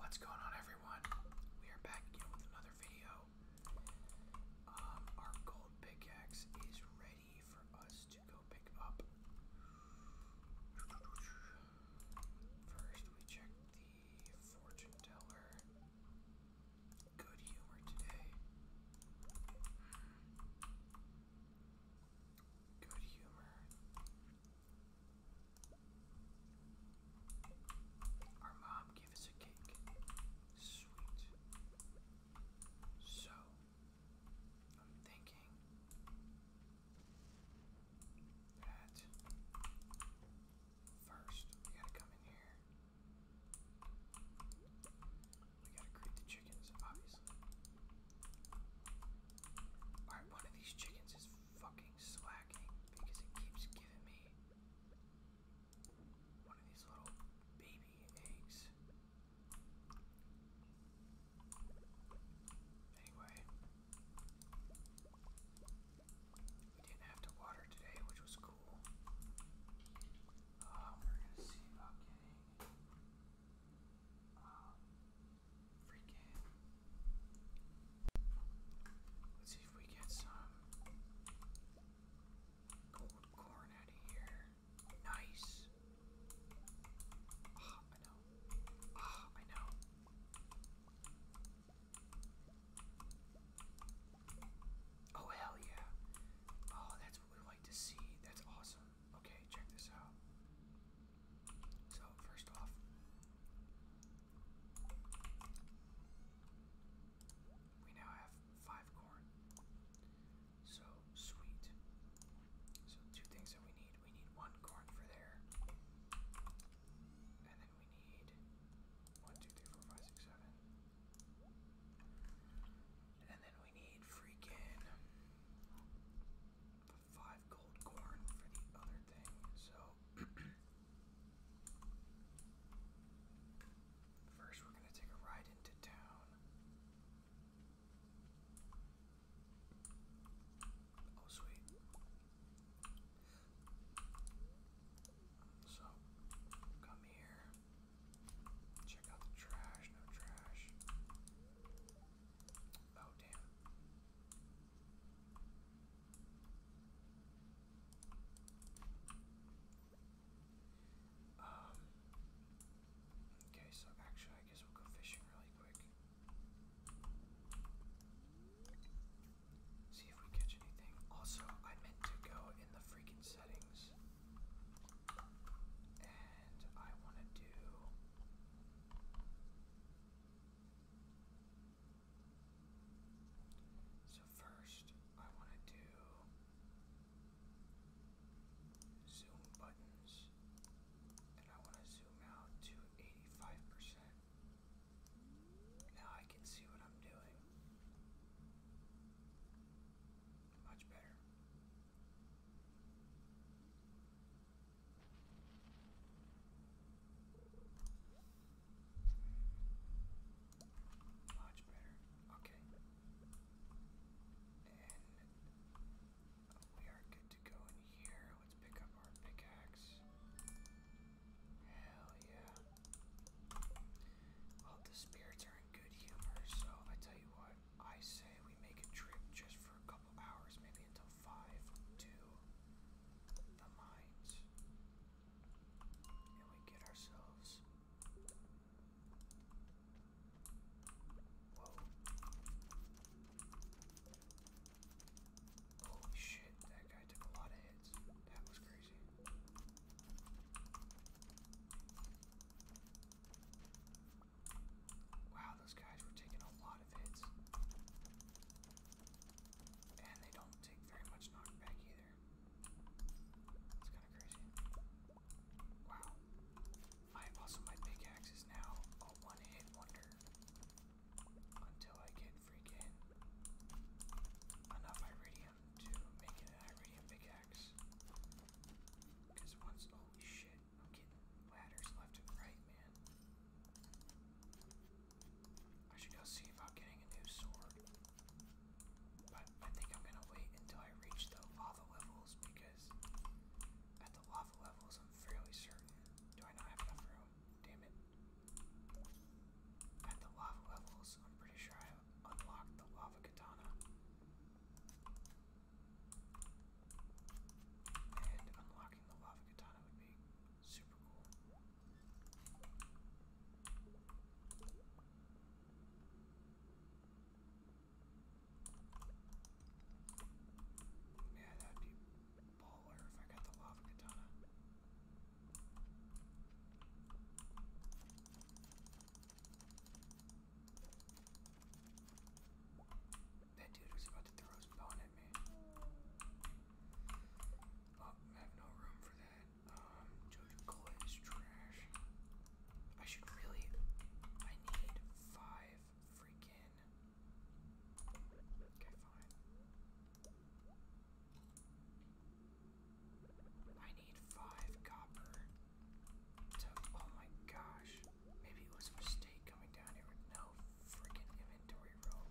What's going on, everyone? We are back again with another video. Um, our gold pickaxe is ready for us to go pick up. First, we check the fortune teller. Good humor today. Good humor. Our mom gave us a cake. Sweet. So, I'm thinking that first we gotta come in here. We gotta create the chickens, obviously. Alright, one of these chickens is fucking slacking because it keeps giving me one of these little baby eggs. Anyway, we didn't have to water today, which was cool. Um, we're gonna see about getting um, Let's see if we get some gold corn out of here. Nice. Ah, I know. Ah, I know. Oh, hell yeah. Oh, that's what we like to see. That's awesome. Okay, check this out. So, first off, we now have five corn. So, sweet. So, two things that we need we need one corn for there, and then we need one, two, three, four, five, six, seven. And then we need freaking five gold corn for the other thing, so first we're gonna take a ride into town. Oh sweet. So come here. Check out the trash, no trash. Oh damn. Um, okay, so actually, I guess we'll go fishing really quick. See if we catch anything. Also, I meant to go in the freaking settings. And I want to do. So, first, I want to do zoom buttons, and I want to zoom out to 85%. Now I can see what I'm doing. Much better. Much better. Okay. And we are good to go in here. Let's pick up our pickaxe. Hell yeah. Well, the spirits are in good humor, so I tell you what, I say we make a trip just for a hours, maybe until 5, to the mines. And we get ourselves. Holy shit, that guy took a lot of hits. That was crazy. Wow, those guys were taking a lot of hits. And they don't take very much knockback either. It's kind of crazy. Wow. I also my big is now a one-hit wonder. Until I get freaking enough iridium to make an iridium big Because once holy shit. I'm getting ladders left and right, man. I should go see about getting a new sword. But I think I'm gonna wait until I reach the lava levels because at the lava levels I'm fairly certain. Do I not have enough room? Damn it. At the lava levels, I'm pretty sure I unlocked the lava katana. And unlocking the lava katana would be super cool. Yeah, that'd be baller if I got the lava katana. That dude was about to throw his bone at me. Oh, I have no room for that. Um, Jojo Cola is trash. I should really. I need five freaking. Okay, fine. I need five copper Oh my gosh. Maybe it was a mistake coming down here with no freaking inventory room.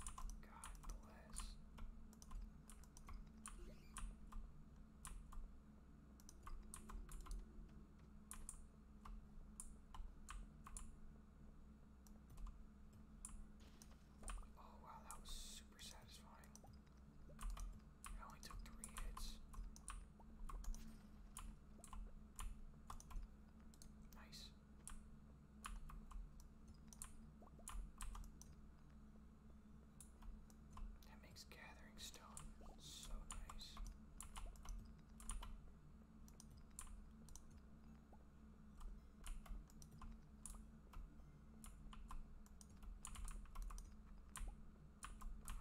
God bless. Oh wow, that was super satisfying. It only took three hits. Nice. That makes gathering stone so nice. I'm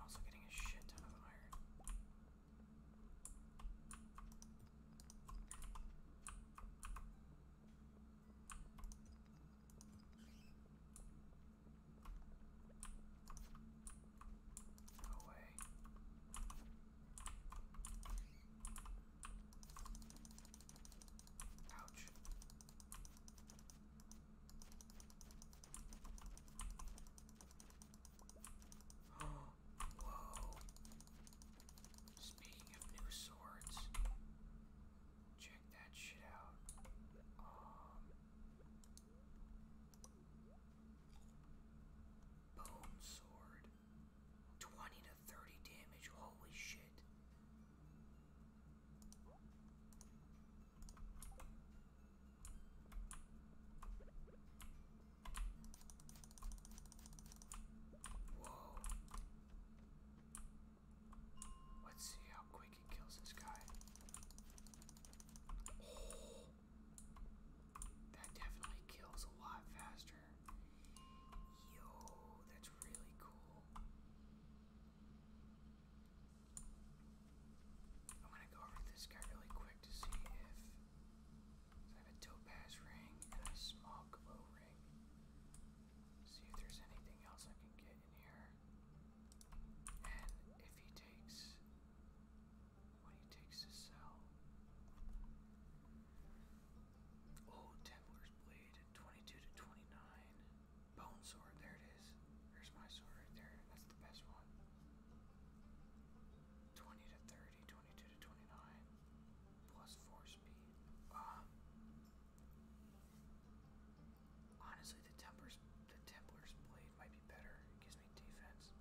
also getting a shit ton of iron. Away. Ouch. Whoa. Speaking of new swords, check that shit out. Um, bone sword. 20 to 30 damage, holy shit. Let's see how quick he kills this guy. Oh. That definitely kills a lot faster. Yo, that's really cool. I'm gonna go over this guy really quick to see if I have a topaz ring and a small glow ring. See if there's anything else I can get in here. And if he takes what he takes to sell. Oh, Templar's Blade, 22 to 29. Bone sword, there it is. There's my sword right there. That's the best one. 20 to 30, 22 to 29, plus 4 speed. Um, honestly, the Templar's, blade might be better. It gives me defense.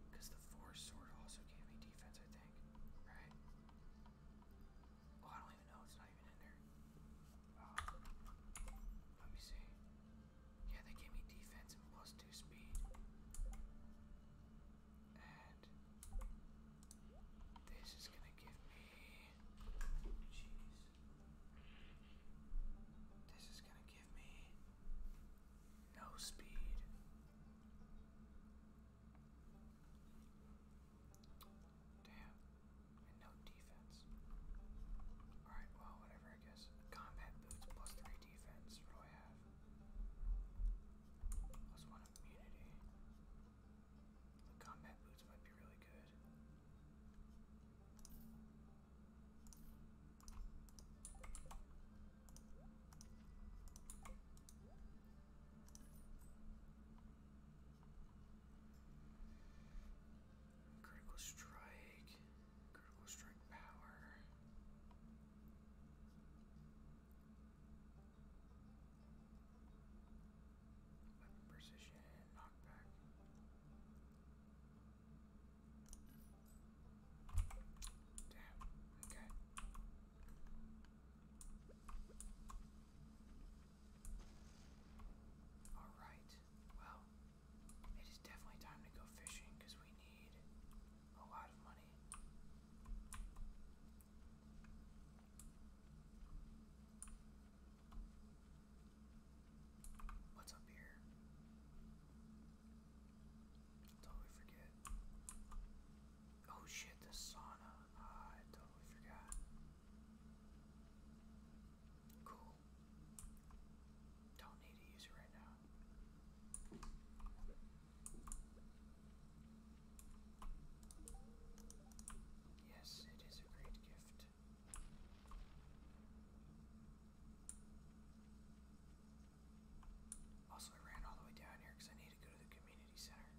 Because the Forest Sword also gave me defense, I think. Right? Oh, I don't even know. It's not even in there. Um, let me see. Yeah, they gave me defense and plus two speed. And this is gonna give me jeez. This is gonna give me no speed. Damn. And no defense. Alright, well, whatever, I guess. Combat boots plus three defense. What do I have? Plus one immunity. The combat boots might be really good. Critical strike. Critical strike power. Weapon precision, knockback. Damn, okay. Alright, well, it is definitely time to go fishing because we need a lot of money. What's up here? Totally forget. Oh shit, the sauna. Ah, I totally forgot. Cool. Don't need to use it right now. Yes, it is a great gift. Also, I ran all the way down here because I need to go to the community center.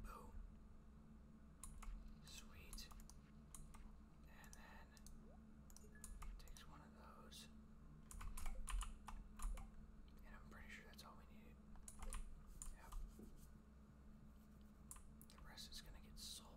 Boom. Sweet. And then takes one of those. And I'm pretty sure that's all we need. Yep. The rest is gonna get sold.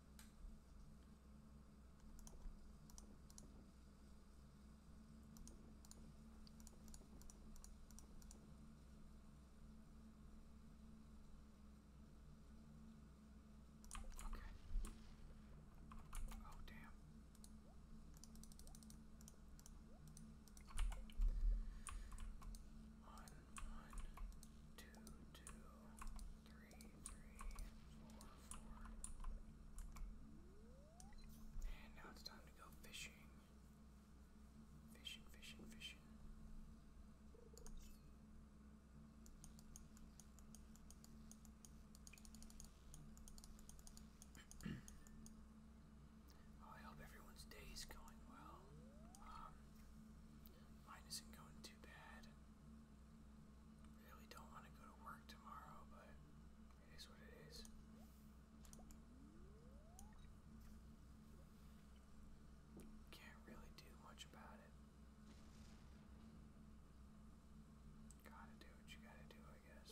Okay. Oh, damn. One, one, two, two three, three, four, four. And now it's time to go fishing. Fishing, fishing, fishing. well, oh, I hope everyone's day is going well. Um, mine isn't going too bad. Really don't want to go to work tomorrow, but it is what it is. Can't really do much about it. Gotta do what you gotta do, I guess.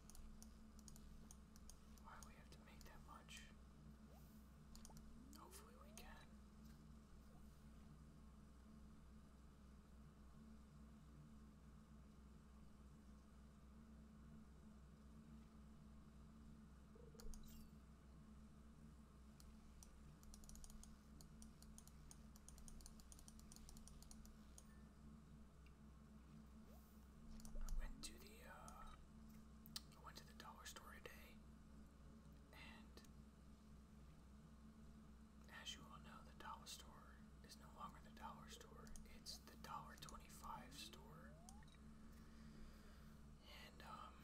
Why do we have to make that much? Hopefully we can. I went to the uh, I went to the dollar store today, and as you all know, the dollar store is no longer the dollar store. It's the dollar twenty-five store, and um,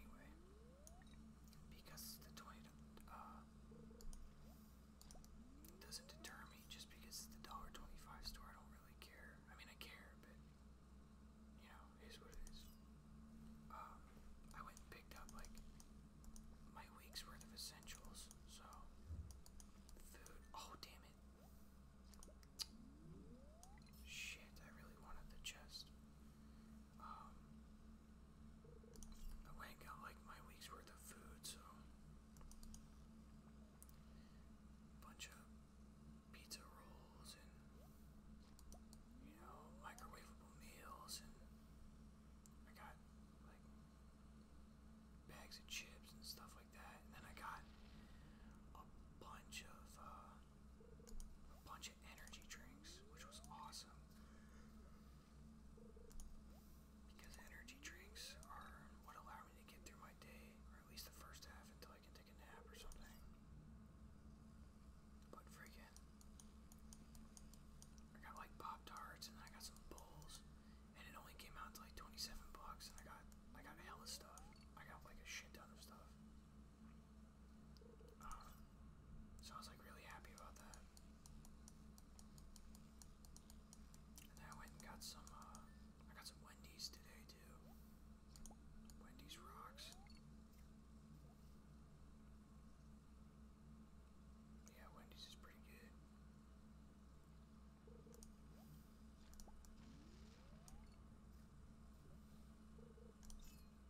anyway, because the toy uh, doesn't deter me just because it's the dollar twenty-five store. I don't really care. I mean, I care, but you know, it is what it is. Um, I went and picked up like my week's worth of essentials. So, food. Oh, damn it. Shit, I really wanted the chest. Um, I ain't got like my week's worth of food, so bunch of pizza rolls and you know microwavable meals, and I got like bags of chips and stuff like that, and then I got a bunch of uh, a bunch of energy drinks, which was awesome. Because energy drinks are what allow me to get through my day, or at least the first half until I can take a nap or something. But freaking, I got like Pop Tarts and I got some bowls, and it only came out to like 27 bucks, and I got I got hella stuff. I got like a shit ton of stuff so I was like really happy about that. And I went and got some, uh, I got some Wendy's today too. Wendy's rocks. Yeah, Wendy's is pretty good.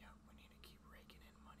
Yeah, we need to keep raking in money.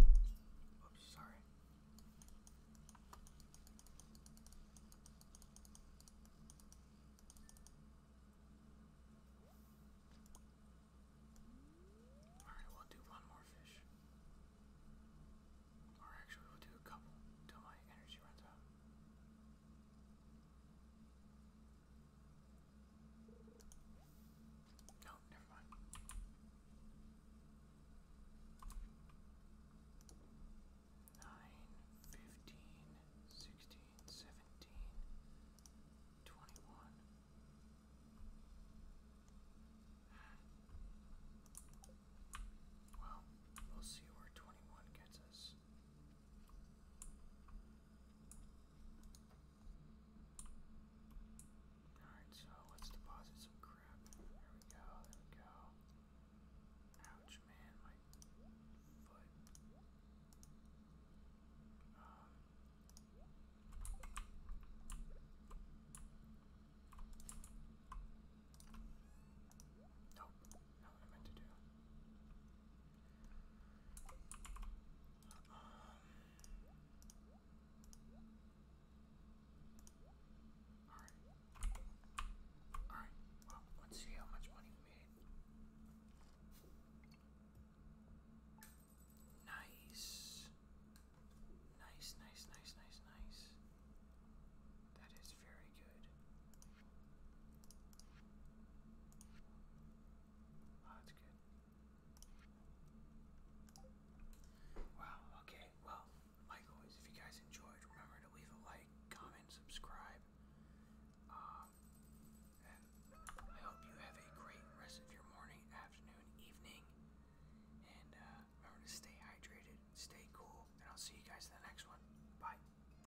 Oops, sorry. Alright, we'll do one more fish. Or actually, we'll do a couple till my energy runs out. No, never Nine, fifteen, sixteen, seventeen, twenty-one. Well, we'll see where twenty-one gets us. Alright, so let's deposit some crap. There we go, there we go. Ouch, man, my foot. Um. Nope, Alright. Alright, let's see how much money we made. Nice. Nice, nice, nice, nice, nice. That is very good. Oh, that's good. Wow, okay, well, like always, if you guys enjoyed, remember to leave a like, comment, subscribe. Um, I hope you have a great rest of your morning, afternoon, evening. And uh, remember to stay hydrated, stay cool, and I'll see you guys in the next one. Bye.